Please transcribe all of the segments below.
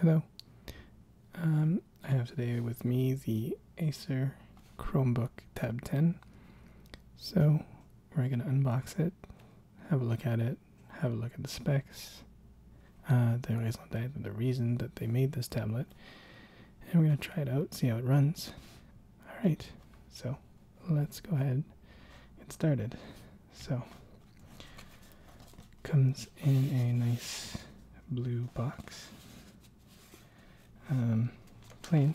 Hello. Um, I have today with me the Acer Chromebook Tab 10. So we're going to unbox it, have a look at it, have a look at the specs, uh, the, raison the reason that they made this tablet, and we're going to try it out, see how it runs. All right, so let's go ahead and get started. So Comes in a nice blue box. Um, plain,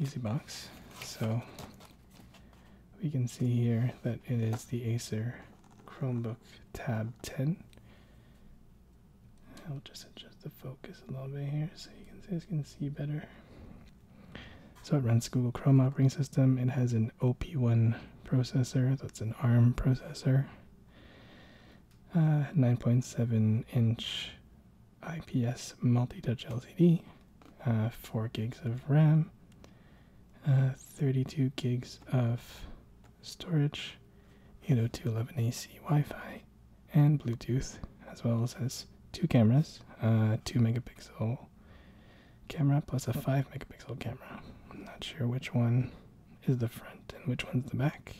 easy box. So we can see here that it is the Acer Chromebook Tab 10. I'll just adjust the focus a little bit here so you guys can see better. So it runs Google Chrome operating system. It has an OP1 processor. That's an ARM processor. Uh, 9.7 inch IPS multi-touch LCD. Uh, 4 gigs of RAM. Uh, 32 gigs of storage. 802.11ac Wi-Fi and Bluetooth, as well as two cameras, uh, two megapixel camera plus a 5 megapixel camera. I'm not sure which one is the front and which one's the back.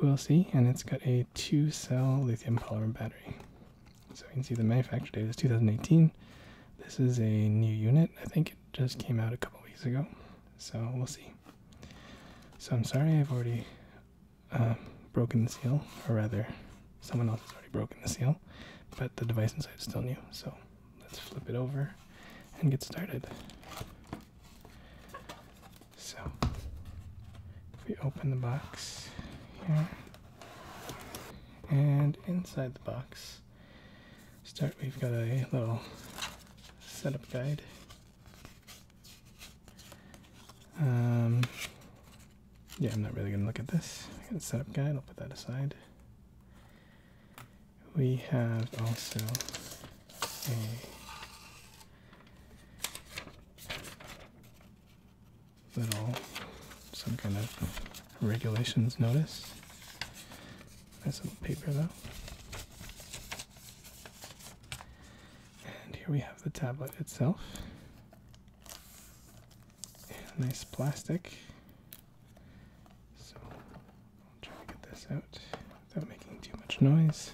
We'll see, and it's got a two cell lithium polymer battery. So you can see the manufacture date is 2018. This is a new unit. I think it just came out a couple weeks ago. So we'll see. So I'm sorry I've already uh, broken the seal, or rather, someone else has already broken the seal, but the device inside is still new. So let's flip it over and get started. So, if we open the box here, and inside the box, start, we've got a little setup guide. Um, yeah, I'm not really gonna look at this. I got a setup guide, I'll put that aside we have also a little some kind of regulations notice. Nice little paper though. And here we have the tablet itself. Nice plastic. So I'll try to get this out without making too much noise.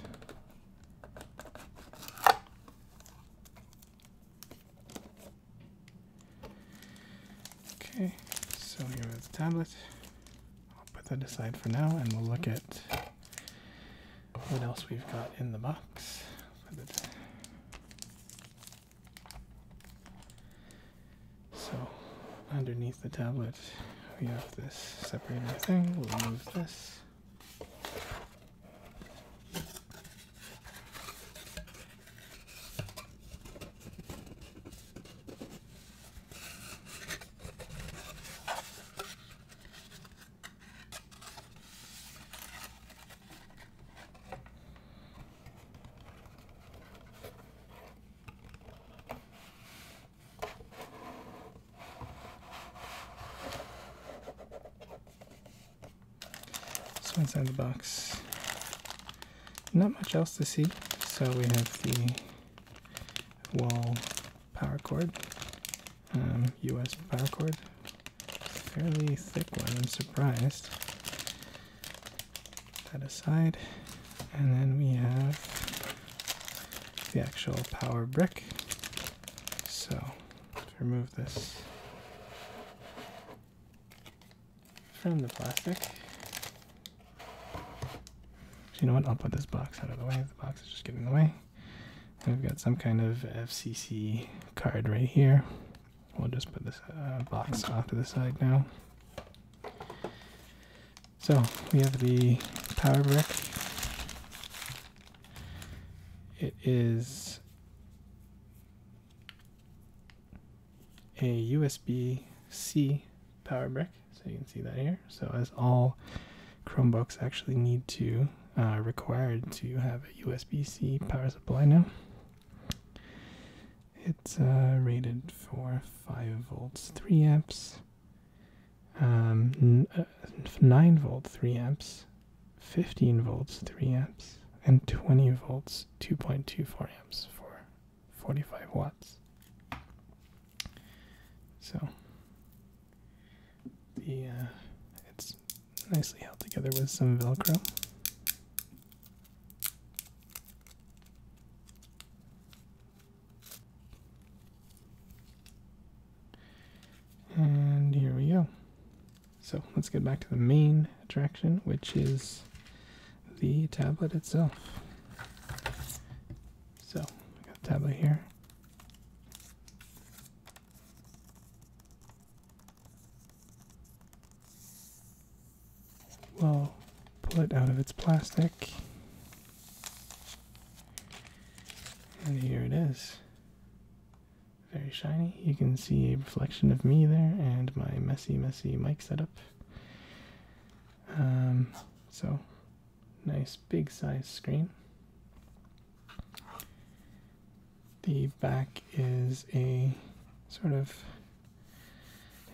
Okay, so here is the tablet. I'll put that aside for now and we'll look at what else we've got in the box. So underneath the tablet, we have this separator thing. We'll move this. So inside the box, not much else to see. So we have the wall power cord, US um, power cord, fairly thick one, I'm surprised that aside. And then we have the actual power brick. So remove this from the plastic. So you know what? I'll put this box out of the way. The box is just getting in the way. we've got some kind of FCC card right here. We'll just put this uh, box off to the side now. So we have the power brick. It is a USB-C power brick, so you can see that here. So as all Chromebooks actually need to, uh, required to have a USB-C power supply now. It's uh, rated for 5 volts, 3 amps, um, uh, 9 volt, 3 amps, 15 volts, 3 amps, and 20 volts, 2.24 amps for 45 watts. So the uh, it's nicely held together with some Velcro. And here we go. So let's get back to the main attraction, which is the tablet itself. So I got the tablet here. We'll pull it out of its plastic. And here it is. Very shiny. You can see a reflection of me there and my messy, messy mic setup. Um, so, nice big size screen. The back is a sort of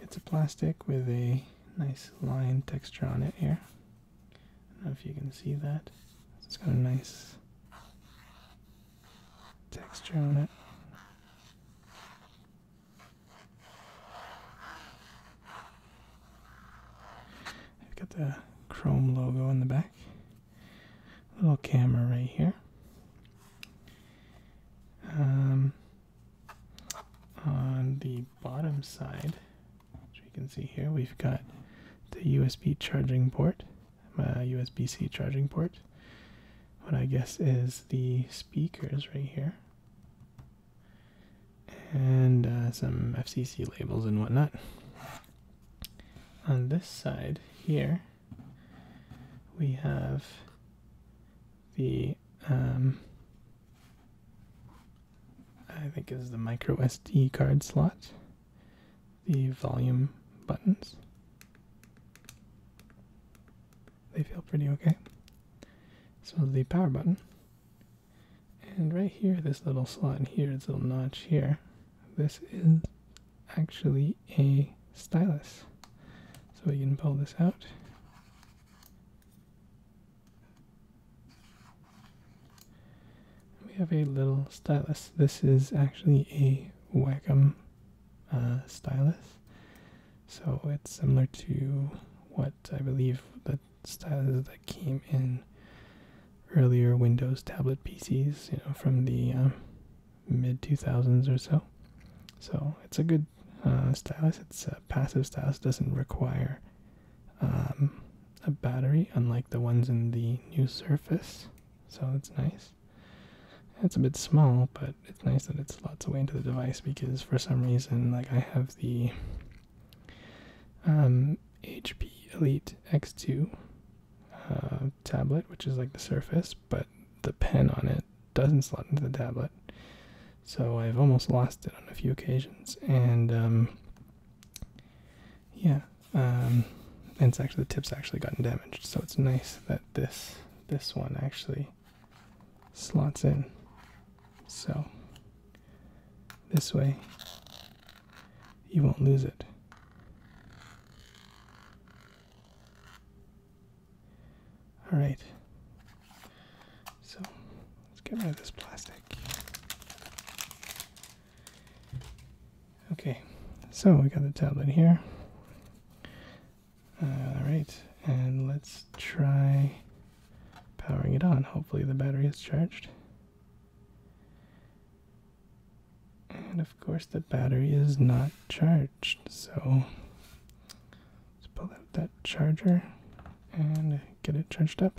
it's a plastic with a nice line texture on it here. know if you can see that. It's got a nice texture on it. I've got the Chrome logo in the back. Little camera right here. Um, on the bottom side, which we can see here, we've got the USB charging port, my uh, USB-C charging port. What I guess is the speakers right here, and uh, some FCC labels and whatnot. On this side here, we have the um, I think is the micro SD card slot, the volume buttons. They feel pretty okay. So the power button. And right here, this little slot in here, this little notch here, this is actually a stylus. So you can pull this out we have a little stylus. This is actually a Wacom uh, stylus. So it's similar to what I believe the stylus that came in earlier Windows tablet PCs, you know, from the uh, mid 2000s or so. So it's a good uh, stylus, it's a passive stylus, doesn't require um, a battery, unlike the ones in the new Surface, so it's nice. It's a bit small, but it's nice that it slots away into the device because for some reason, like I have the um, HP Elite X2 uh, tablet, which is like the Surface, but the pen on it doesn't slot into the tablet. So I've almost lost it on a few occasions. And um, yeah, um, and it's actually the tip's actually gotten damaged. So it's nice that this this one actually slots in. So this way you won't lose it. All right. So let's get rid of this plastic. Okay, so we got the tablet here. all right, and let's try powering it on. Hopefully, the battery is charged. And of course, the battery is not charged, so Let's pull out that charger and get it charged up.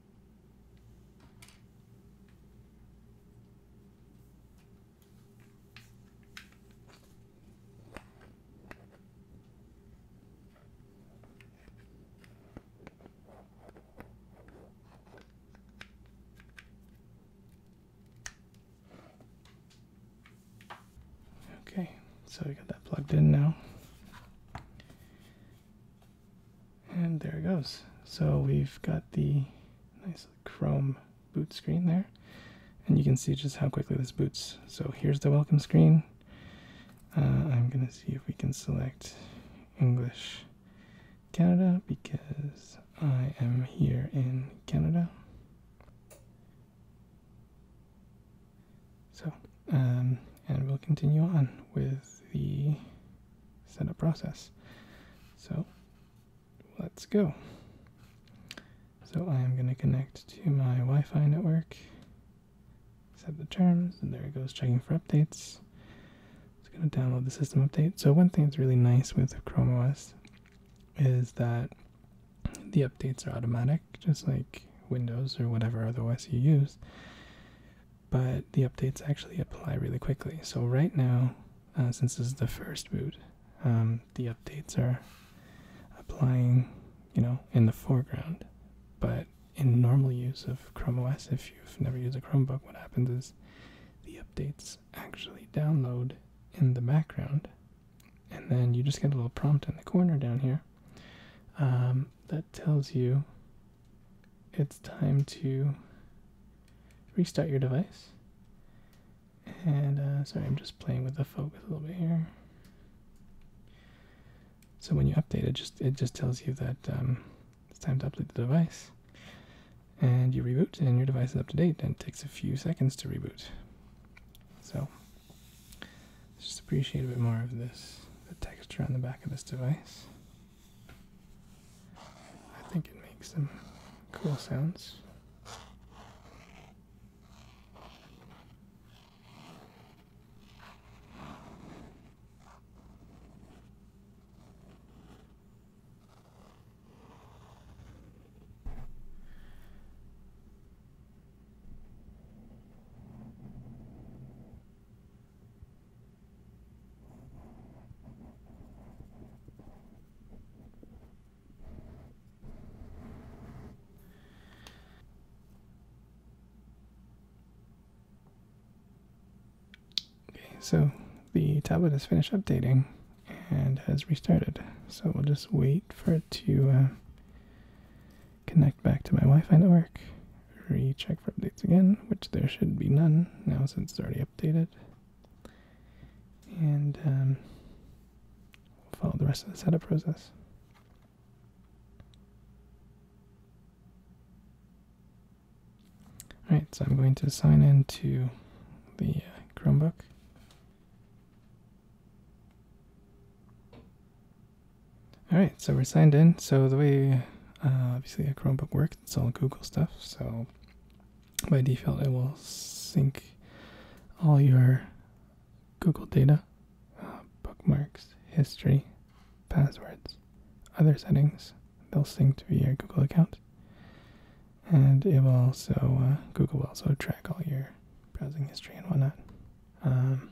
Okay, so we got that plugged in now. And there it goes. So we've got the nice chrome boot screen there. And you can see just how quickly this boots. So here's the welcome screen. Uh, I'm going to see if we can select English Canada because I am here in Canada. So, um, and we'll continue on with the setup process. So let's go. So I am going to connect to my Wi-Fi network, set the terms, and there it goes checking for updates. It's going to download the system update. So one thing that's really nice with Chrome OS is that the updates are automatic, just like Windows or whatever other OS you use but the updates actually apply really quickly. So right now, uh, since this is the first boot, um, the updates are applying, you know, in the foreground. But in normal use of Chrome OS, if you've never used a Chromebook, what happens is the updates actually download in the background, and then you just get a little prompt in the corner down here um, that tells you it's time to restart your device. And uh, sorry, I'm just playing with the focus a little bit here. So when you update it, just it just tells you that um, it's time to update the device, and you reboot, and your device is up to date. And it takes a few seconds to reboot. So just appreciate a bit more of this, the texture on the back of this device. I think it makes some cool sounds. Okay, so the tablet has finished updating and has restarted. So we'll just wait for it to uh, connect back to my Wi Fi network. Recheck for updates again, which there should be none now since it's already updated and um, we'll follow the rest of the setup process. Alright, so I'm going to sign in to the uh, Chromebook. Alright, so we're signed in. So the way uh, obviously a Chromebook works, it's all Google stuff. So by default it will sync all your Google data, uh, bookmarks, history, passwords, other settings. They'll sync to your Google account, and it will also uh, Google will also track all your browsing history and whatnot. Um,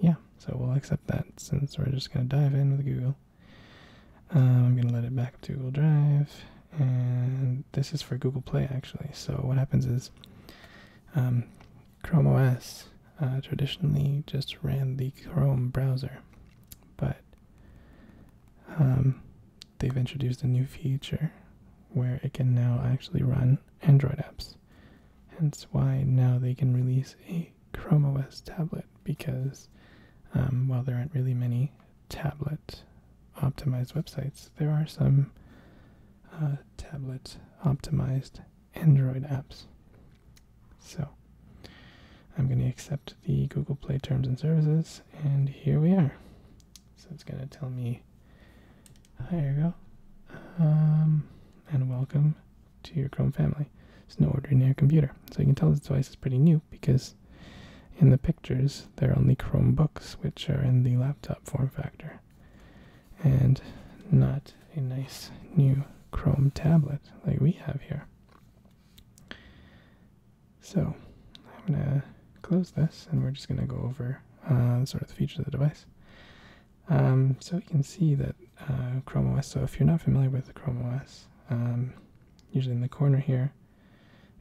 yeah, so we'll accept that since we're just gonna dive in with Google. Um, I'm gonna let it back up to Google Drive, and this is for Google Play actually. So what happens is, um, Chrome OS uh, traditionally just ran the Chrome browser, but um, they've introduced a new feature where it can now actually run Android apps. Hence why now they can release a Chrome OS tablet because um, while there aren't really many tablet optimized websites, there are some uh, tablet optimized Android apps. So I'm going to accept the Google Play Terms and Services, and here we are. So it's going to tell me, hi, Ergo, go, um, and welcome to your Chrome family. It's no ordinary computer. So you can tell this device is pretty new because in the pictures, they're only Chromebooks, which are in the laptop form factor, and not a nice new Chrome tablet like we have here. So, I'm going to close this and we're just going to go over uh, sort of the features of the device. Um, so, we can see that uh, Chrome OS, so if you're not familiar with Chrome OS, um, usually in the corner here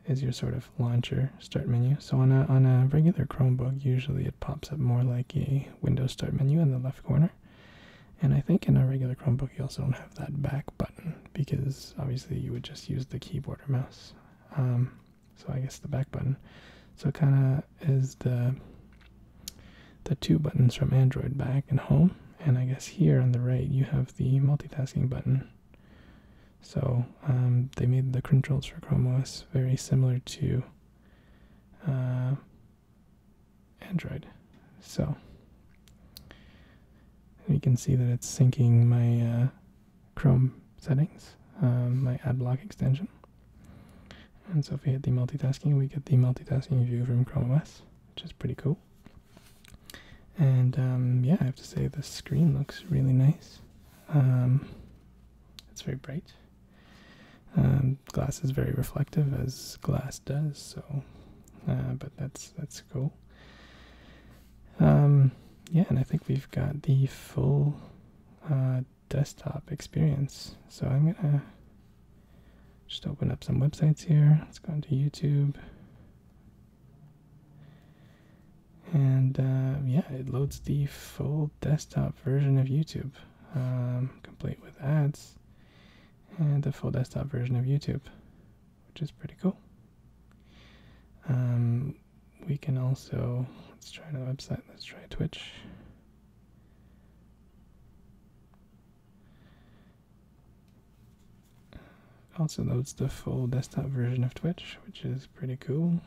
is your sort of launcher start menu. So on a on a regular Chromebook, usually it pops up more like a Windows start menu in the left corner. And I think in a regular Chromebook, you also don't have that back button because obviously you would just use the keyboard or mouse. Um, so I guess the back button. So kind of is the the two buttons from Android back and home, and I guess here on the right you have the multitasking button. So um, they made the controls for Chrome OS very similar to uh, Android. So we can see that it's syncing my uh, Chrome settings, um, my AdBlock extension. And so if we hit the multitasking, we get the multitasking view from Chrome OS, which is pretty cool. And um, yeah, I have to say the screen looks really nice. Um, it's very bright. Um, glass is very reflective, as glass does. So, uh, but that's that's cool. yeah, and I think we've got the full uh, desktop experience. So I'm gonna just open up some websites here. Let's go into YouTube. And uh, yeah, it loads the full desktop version of YouTube, um, complete with ads, and the full desktop version of YouTube, which is pretty cool. Um, we can also, let's try another website, let's try Twitch. Also loads the full desktop version of Twitch, which is pretty cool.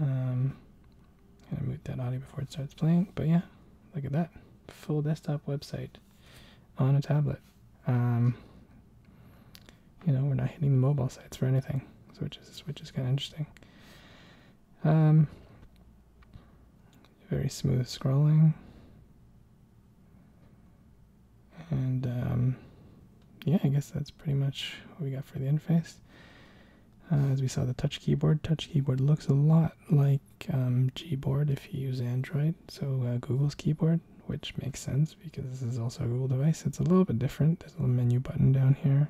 Um, i gonna mute that audio before it starts playing, but yeah, look at that full desktop website on a tablet. Um, you know, we're not hitting the mobile sites for anything, which is which is kind of interesting. Um, very smooth scrolling. And um, yeah, I guess that's pretty much what we got for the interface. Uh, as we saw the touch keyboard, touch keyboard looks a lot like um, Gboard if you use Android, so uh, Google's keyboard, which makes sense because this is also a Google device. It's a little bit different. There's a little menu button down here.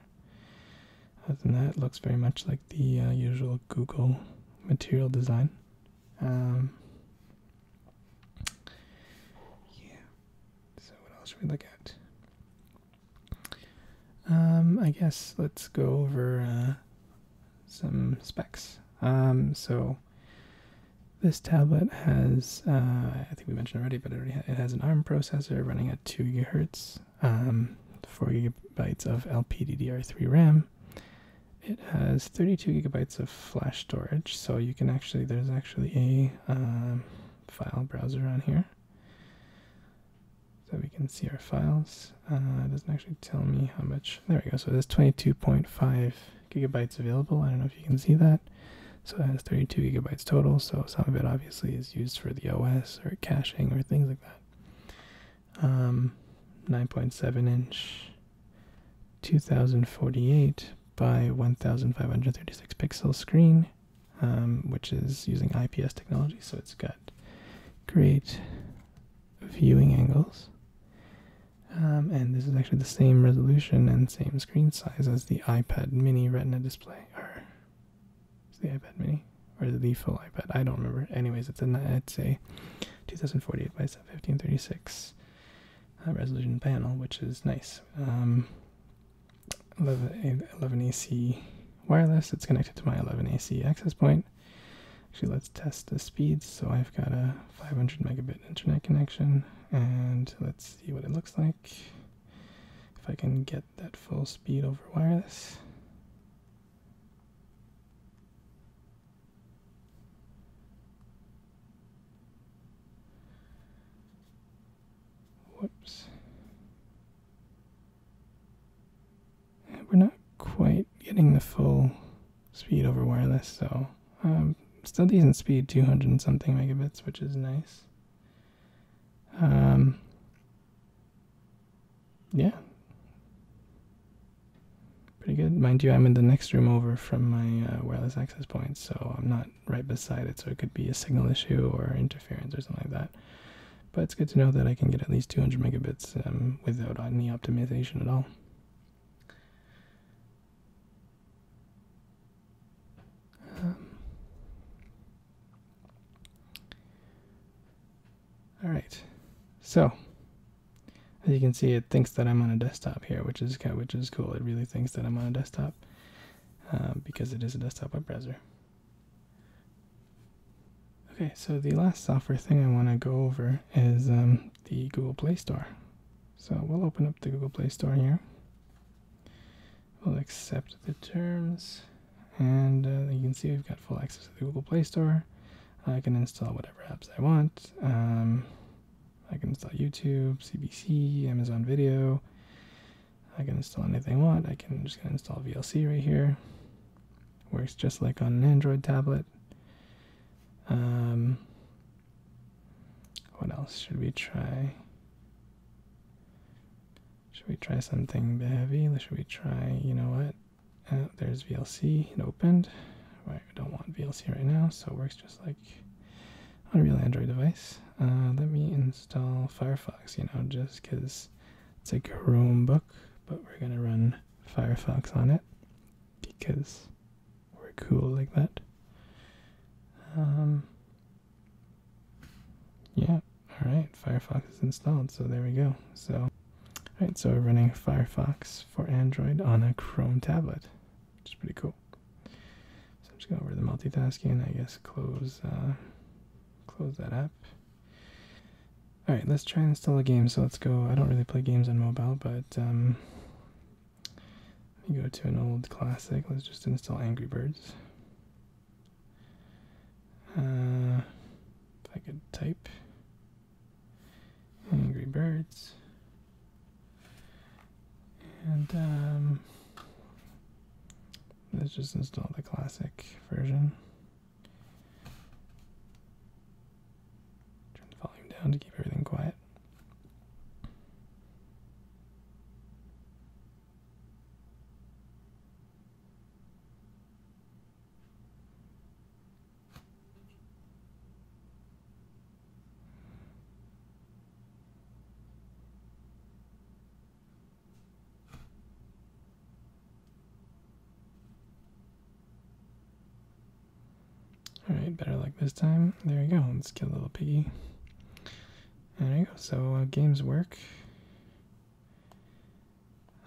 Other than that, it looks very much like the uh, usual Google material design. Um, yeah. So what else should we look at? Um, I guess let's go over uh, some specs. Um, so this tablet has, uh, I think we mentioned already, but it, already has an ARM processor running at 2 gigahertz, 4 gigabytes of LPDDR3 RAM, it has 32 gigabytes of flash storage, so you can actually, there's actually a um, file browser on here. So we can see our files. Uh, doesn't actually tell me how much. There we go. So there's 22.5 gigabytes available. I don't know if you can see that. So it has 32 gigabytes total. So some of it obviously is used for the OS or caching or things like that. Um, 9.7 inch 2048 by 1536 pixel screen, um, which is using IPS technology, so it's got great viewing angles. Um, and this is actually the same resolution and same screen size as the iPad mini retina display, or is the iPad mini, or the full iPad, I don't remember. Anyways, it's a, it's a 2048 by 1536 uh, resolution panel, which is nice. Um, 11, 11AC wireless, it's connected to my 11AC access point. Actually, let's test the speeds. So I've got a 500 megabit internet connection, and let's see what it looks like. If I can get that full speed over wireless. Whoops. we're not quite getting the full speed over wireless, so um, still decent speed, 200 something megabits, which is nice. Um, yeah. Pretty good. Mind you, I'm in the next room over from my uh, wireless access point, so I'm not right beside it, so it could be a signal issue or interference or something like that. But it's good to know that I can get at least 200 megabits um, without any optimization at all. Um, all right, so as you can see, it thinks that I'm on a desktop here, which is which is cool. It really thinks that I'm on a desktop uh, because it is a desktop web browser. Okay, so the last software thing I want to go over is um, the Google Play Store. So we'll open up the Google Play Store here. We'll accept the terms, and uh, you can see we've got full access to the Google Play Store. I can install whatever apps I want. Um, I can install YouTube, CBC, Amazon Video. I can install anything I want. I can just install VLC right here. Works just like on an Android tablet. Um, what else should we try? Should we try something heavy? Should we try, you know what? Uh, there's VLC. It opened. Right, I don't want VLC right now, so it works just like on a real Android device. Uh, let me install Firefox, you know, just because it's a Chromebook, but we're going to run Firefox on it because we're cool like that. Um, yeah, alright, Firefox is installed, so there we go. So, alright, so we're running Firefox for Android on a Chrome tablet which is pretty cool. So I'm just gonna go over to the multitasking. I guess close uh, close that app. All right, let's try and install a game. So let's go. I don't really play games on mobile, but um, let me go to an old classic. Let's just install Angry Birds. Uh, if I could type. Angry Birds, and um, let's just install the classic version. Turn the volume down to keep everything quiet. Alright, better luck this time. There we go. Let's kill little piggy. There we go. So, uh, games work.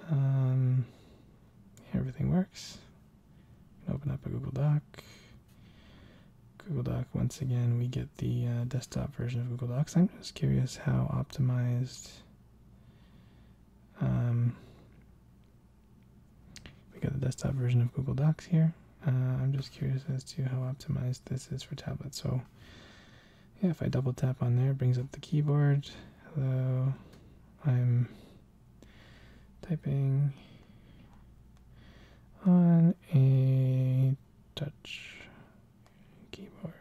Um, everything works open up a Google Doc. Google Doc, once again, we get the uh, desktop version of Google Docs. I'm just curious how optimized. Um, we got the desktop version of Google Docs here. Uh, I'm just curious as to how optimized this is for tablets. So, yeah, if I double tap on there, brings up the keyboard. Hello, I'm typing on a touch keyboard.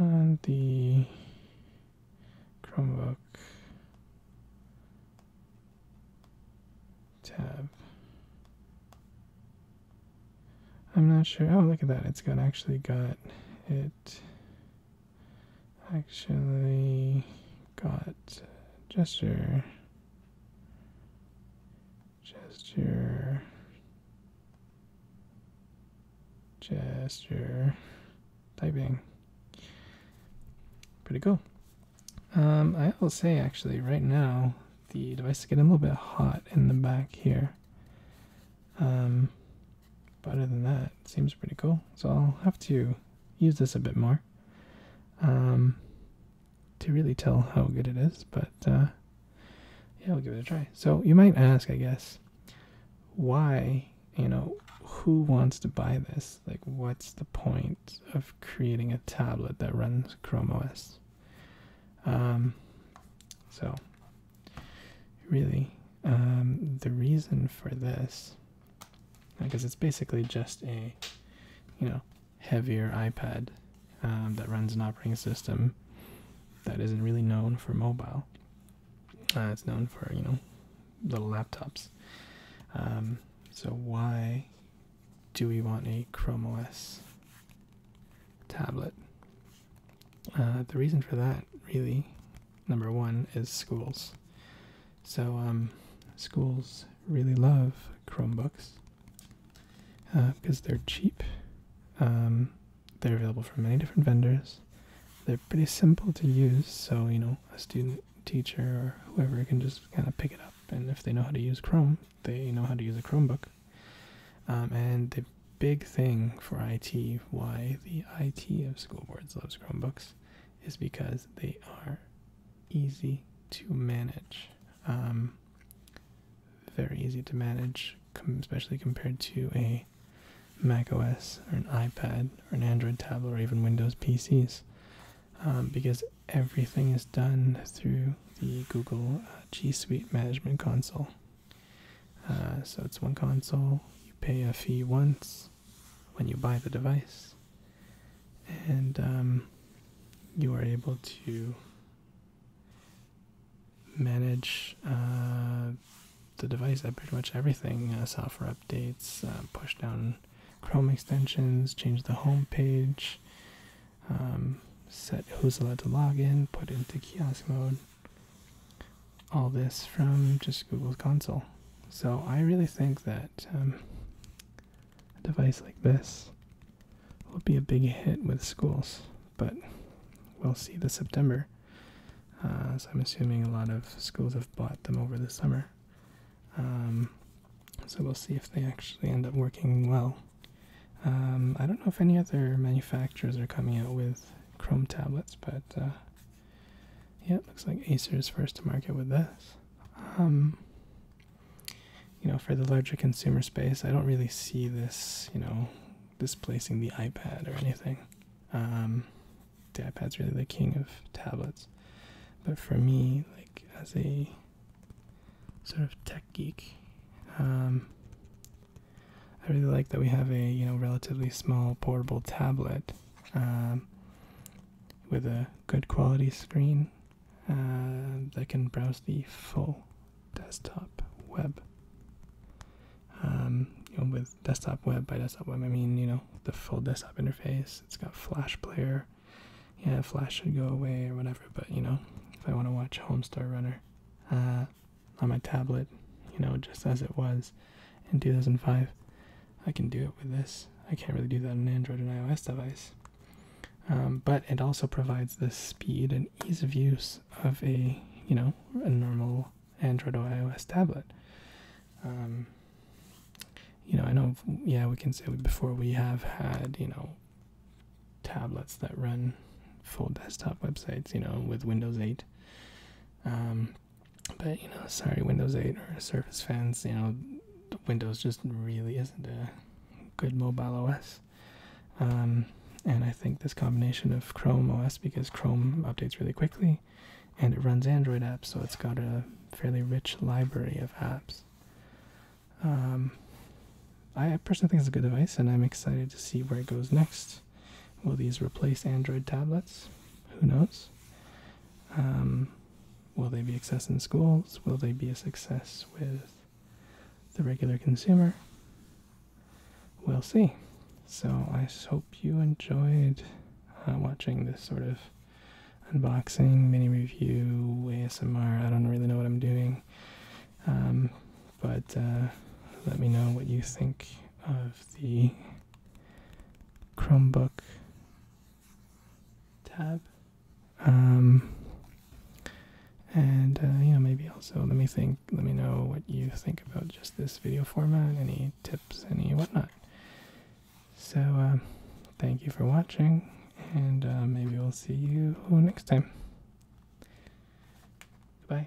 On the Chromebook tab. I'm not sure. Oh, look at that. It's got actually got it actually got gesture, gesture, gesture typing. Pretty cool. Um, I will say actually right now the device is getting a little bit hot in the back here. Um, but other than that, it seems pretty cool. So I'll have to use this a bit more um, to really tell how good it is. But uh, yeah, we will give it a try. So you might ask, I guess, why, you know, who wants to buy this? Like, what's the point of creating a tablet that runs Chrome OS? Um, so really um, the reason for this because it's basically just a you know heavier ipad um, that runs an operating system that isn't really known for mobile uh, it's known for you know little laptops um, so why do we want a chrome os tablet uh, the reason for that really number one is schools. So um, schools really love Chromebooks because uh, they're cheap. Um, they're available from many different vendors. They're pretty simple to use, so you know a student, teacher, or whoever can just kind of pick it up. And if they know how to use Chrome, they know how to use a Chromebook. Um, and the big thing for IT, why the IT of school boards loves Chromebooks is because they are easy to manage. Um, very easy to manage, especially compared to a Mac OS or an iPad or an Android tablet or even Windows PCs, um, because everything is done through the Google uh, G Suite Management Console. Uh, so it's one console. You pay a fee once when you buy the device, and um, you are able to manage uh, the device at pretty much everything uh, software updates, uh, push down Chrome extensions, change the home page, um, set who's allowed to log in, put into kiosk mode all this from just Google's console. So I really think that um, a device like this will be a big hit with schools, but we'll see this September. as uh, I'm assuming a lot of schools have bought them over the summer. Um, so we'll see if they actually end up working well. Um, I don't know if any other manufacturers are coming out with Chrome tablets, but uh, yeah, looks like Acer's first to market with this. Um, you know, for the larger consumer space, I don't really see this, you know, displacing the iPad or anything. Um, the iPad's really the king of tablets. But for me, like as a sort of tech geek, um, I really like that we have a you know relatively small portable tablet um, with a good quality screen uh, that can browse the full desktop web. Um, with desktop web by desktop web, I mean you know the full desktop interface. It's got Flash player. Yeah, Flash should go away or whatever. But you know, if I want to watch Homestar Runner uh, on my tablet, you know, just as it was in 2005, I can do it with this. I can't really do that on an Android and iOS device. Um, but it also provides the speed and ease of use of a, you know, a normal Android or iOS tablet. Um, you know, I know, yeah, we can say before we have had, you know, tablets that run full desktop websites, you know, with Windows 8. Um, but you know, sorry, Windows 8 or Surface fans, you know, Windows just really isn't a good mobile OS. Um, and I think this combination of Chrome OS, because Chrome updates really quickly and it runs Android apps, so it's got a fairly rich library of apps. Um, I personally think it's a good device, and I'm excited to see where it goes next. Will these replace Android tablets? Who knows? Um, will they be a success in schools? Will they be a success with the regular consumer? We'll see. So I hope you enjoyed uh, watching this sort of unboxing, mini review, ASMR. I don't really know what I'm doing. Um, but uh, let me know what you think of the Chromebook tab. Um, and uh, you know maybe also let me think let me know what you think about just this video format any tips any whatnot so uh, thank you for watching and uh, maybe we'll see you next time Bye.